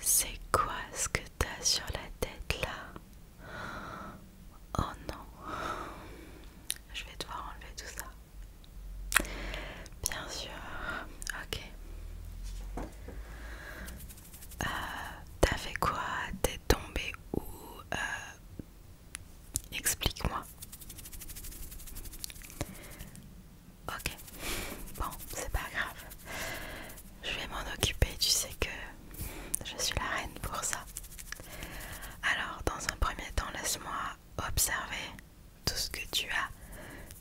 C'est quoi ce que t'as sur la tête là Oh non, je vais devoir enlever tout ça. Bien sûr. Ok. Euh, t'as fait quoi T'es tombé où euh, Explique-moi. Ok. Bon, c'est pas grave. Je vais m'en occuper. Tu sais que je suis la reine pour ça. Alors, dans un premier temps, laisse-moi observer tout ce que tu as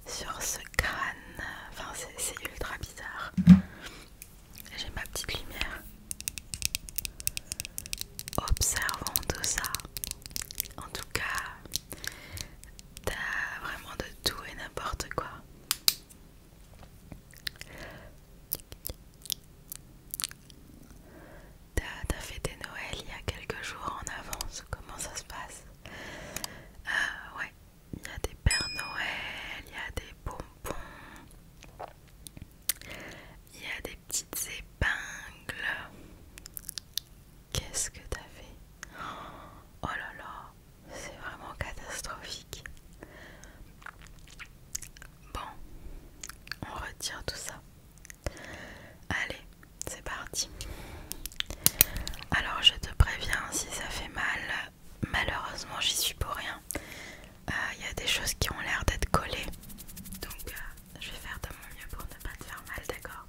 sur ce crâne. Enfin, c'est ultra bizarre. J'ai ma petite lumière. Observons tout ça. En tout cas, t'as vraiment de tout et n'importe quoi. T'as des Noël il y a quelques jours en avance, comment ça se passe ah, ouais, il y a des Pères Noël, il y a des bonbons, il y a des petites épingles. Qu'est-ce que t'as fait Oh là là, c'est vraiment catastrophique. Bon, on retire tout ça. Allez, c'est parti. Alors je te préviens, si ça fait mal, malheureusement j'y suis pour rien. Il euh, y a des choses qui ont l'air d'être collées. Donc euh, je vais faire de mon mieux pour ne pas te faire mal, d'accord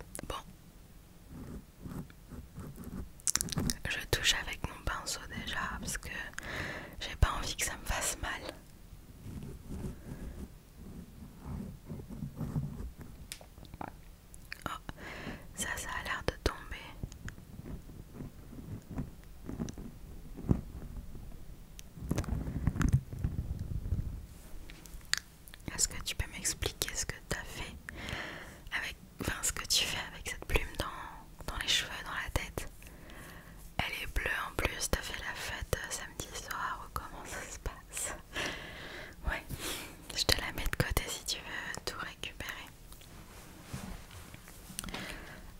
Bon. Je touche avec mon pinceau déjà parce que j'ai pas envie que ça me fasse mal. Oh, ça, ça a l'air de tomber. Est-ce que tu peux m'expliquer ce que tu as fait avec, enfin, ce que tu fais avec cette plume dans, les cheveux, dans la tête Elle est bleue en plus, as fait la fête euh, samedi soir ou comment ça se passe Ouais, je te la mets de côté si tu veux tout récupérer.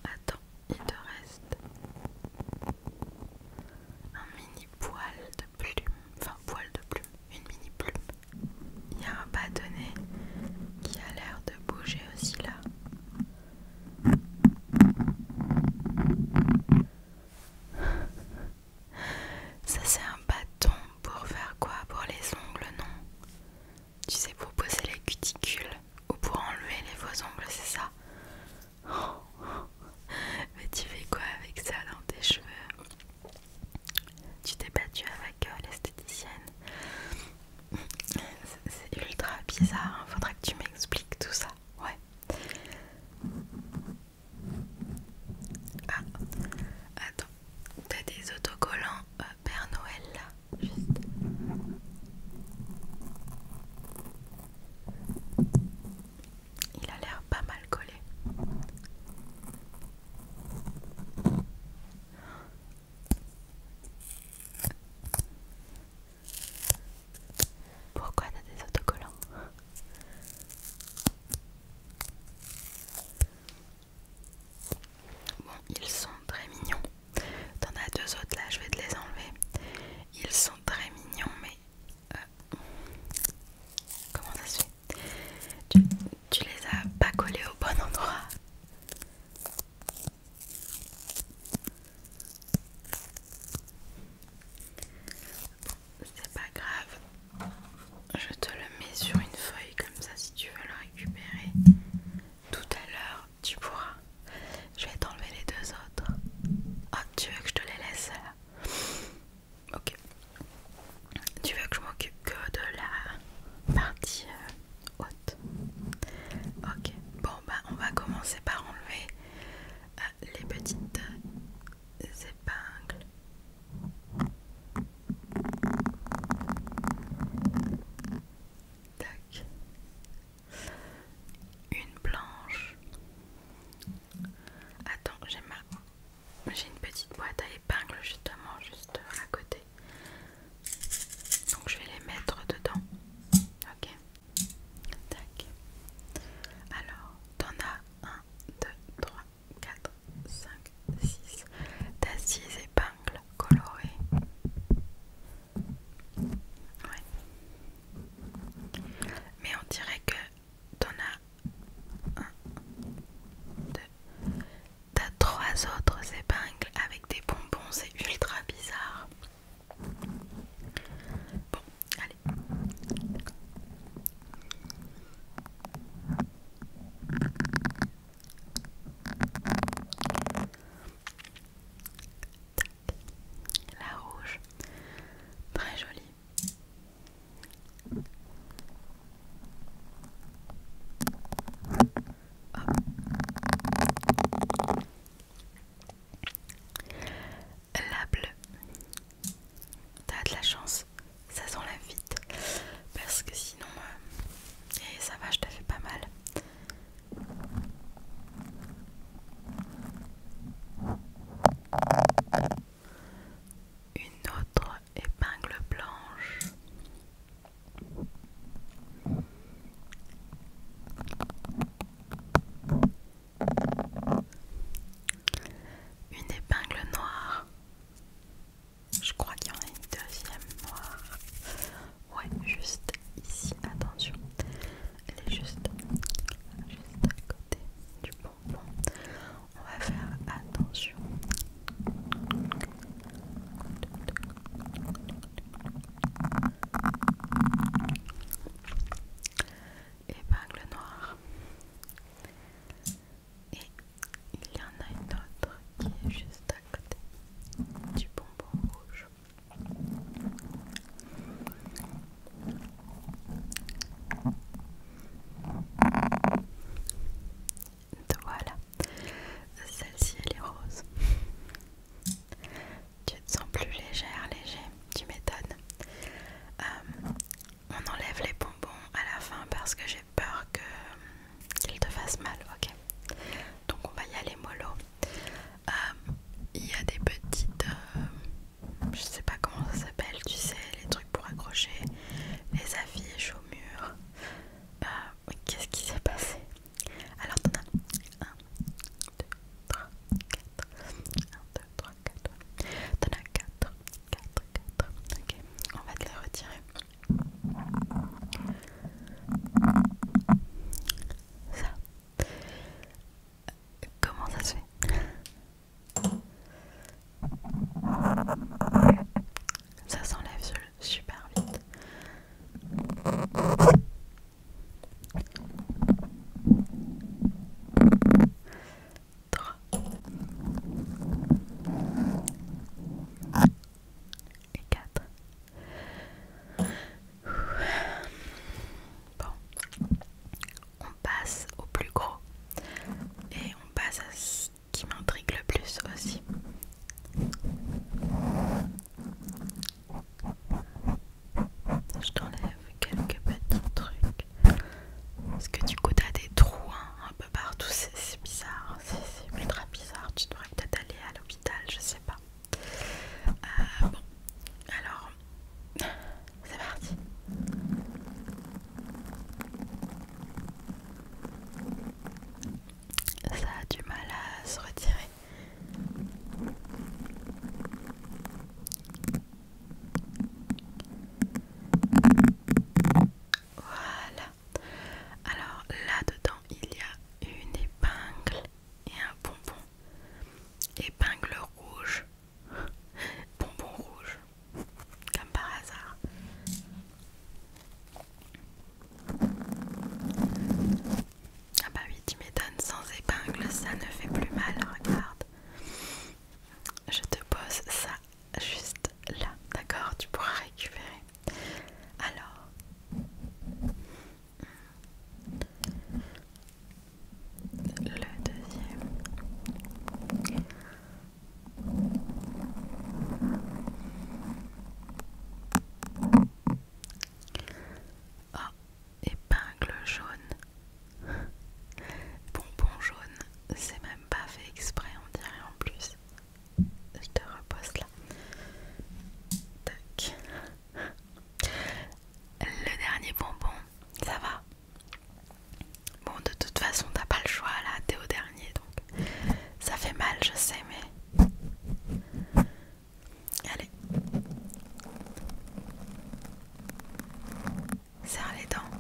Attends, il te reste un mini poil de plume, enfin poil de plume, une mini plume. Il y a un bâtonnet qui a l'air de bouger aussi là. Ça c'est un bâton pour faire quoi Pour les ongles, non Tu sais, pour poser les cuticules ou pour enlever les faux ongles, c'est ça Mais tu fais quoi avec ça dans tes cheveux Tu t'es battue avec euh, l'esthéticienne C'est ultra bizarre, Faudrait hein. faudra que tu m'expliques tout ça, ouais. Ah, attends, t'as des autocollants euh, Père Noël là, juste. Il a l'air pas mal collé. Pourquoi t'as des autocollants Bon, ils sont très mignons. T'en as deux autres là, je vais te les enlever. Ils sont très mignons, mais euh, comment ça se fait tu, tu les as pas collés au bon endroit. C'est pas grave. Je te le mets sur une feuille comme ça si tu veux le récupérer. Tout à l'heure, tu pourras. Je vais t'enlever les deux autres. Oh, tu veux que je te les laisse là Ok. Tu veux que je m'occupe que de la partie euh, haute Ok. Bon, bah on va commencer par enlever euh, les petites euh, épingles. Tac. Une planche. Attends, j'ai ma... J'ai une petite boîte à épingles justement, juste à côté. Donc je vais les mettre dedans. Ok. Tac. Alors, t'en as 1, 2, 3, 4, 5, 6. T'as 6 épingles colorées. Ouais. Mais on dirait que t'en as 1, 2. T'as 3 autres épingles avec des bonbons. C'est ultra bizarre. Bon, la rouge, très jolie. La bleue. T'as de la chance, ça s'enlève vite. Parce que sinon, euh, ça va, je te fais pas mal. Une autre épingle blanche. Une épingle noire. Je crois qu'il y en a une deuxième noire. Ouais, juste ici. Attention. Elle est juste, à côté du bonbon. On va faire attention épingle noire. Et il y en a une autre qui est juste à côté du bonbon rouge. voilà, celle-ci elle est rose tu te sens plus légère, léger, tu m'étonnes. Euh, on enlève les bonbons à la fin parce que j'ai peur euh, qu'ils te fassent mal, ok Donc on va y aller mollo. Euh, il y a des petites... je sais pas comment ça s'appelle, tu sais, les trucs pour accrocher les affiches au mur. Qu'est-ce qui s'est passé Alors t'en as un, 3, 4. 1, 2, 3, 4. T'en as 4. 4, 4. Ok, on va te les retirer. Ça. Comment ça se fait ça s'enlève super vite. 3 et 4 Bon, on passe au plus gros et on passe à ce qui m'intrigue le plus aussi. Je t'enlève quelques petits trucs. Parce que du coup, t'as des trous hein, un peu partout. C'est bizarre. C'est ultra bizarre. Tu devrais peut-être aller à l'hôpital. Je sais pas. Euh, bon. Alors, c'est parti. Ça a du mal à se retirer. Voilà. Alors là-dedans, il y a une épingle et un bonbon. Épingle rouge. bonbon rouge. Comme par hasard. Ah bah oui, tu m'étonnes, sans épingle, ça ne fait plus mal, regarde. Je te pose ça juste là, d'accord Tu pourras récupérer. Alors... Le deuxième... Oh, épingle jaune. Bonbon jaune, c'est même pas fait exprès, on dirait en plus. Je te repose là. Le dernier bonbon, ça va. Bon, de toute façon, t'as pas le choix là, t'es au dernier donc. Ça fait mal, je sais, mais. Allez. Serre les dents.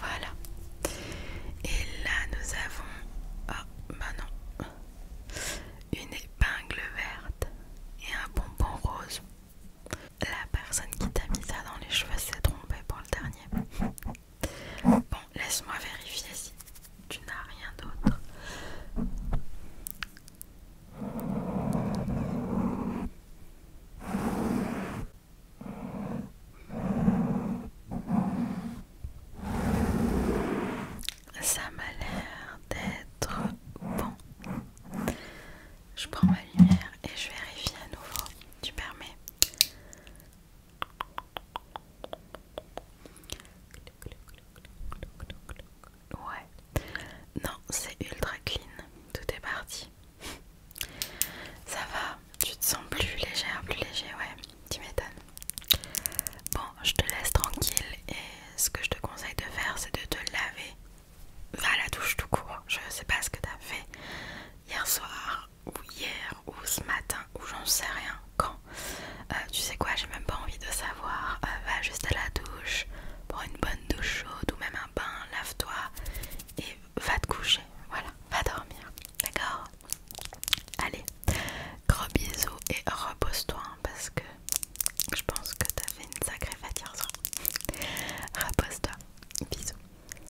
Voilà. Et là, nous avons... Oh, bah non. Une épingle verte et un bonbon rose. La personne qui t'a mis ça dans les cheveux s'est trompée pour le dernier. Bon, laisse-moi vérifier si tu n'as rien d'autre. Ça m'a l'air d'être bon. Je prends ma lumière et je vérifie à nouveau. Tu permets Ouais. Non, c'est ultra clean. Tout est parti. Ça va, tu te sens plus légère, plus léger, ouais. Tu m'étonnes. Bon, je te laisse tranquille et ce que je te conseille de faire, c'est de te laver. Va à la douche tout court. Je sais pas ce que t'as fait hier soir ou hier ou ce matin ou j'en sais rien quand euh, tu sais quoi j'ai même pas envie de savoir euh, va juste à la douche pour une bonne douche chaude ou même un bain lave-toi et va te coucher voilà va dormir d'accord allez gros bisous et repose-toi hein, parce que je pense que t'as fait une sacrée fatigue repose-toi bisous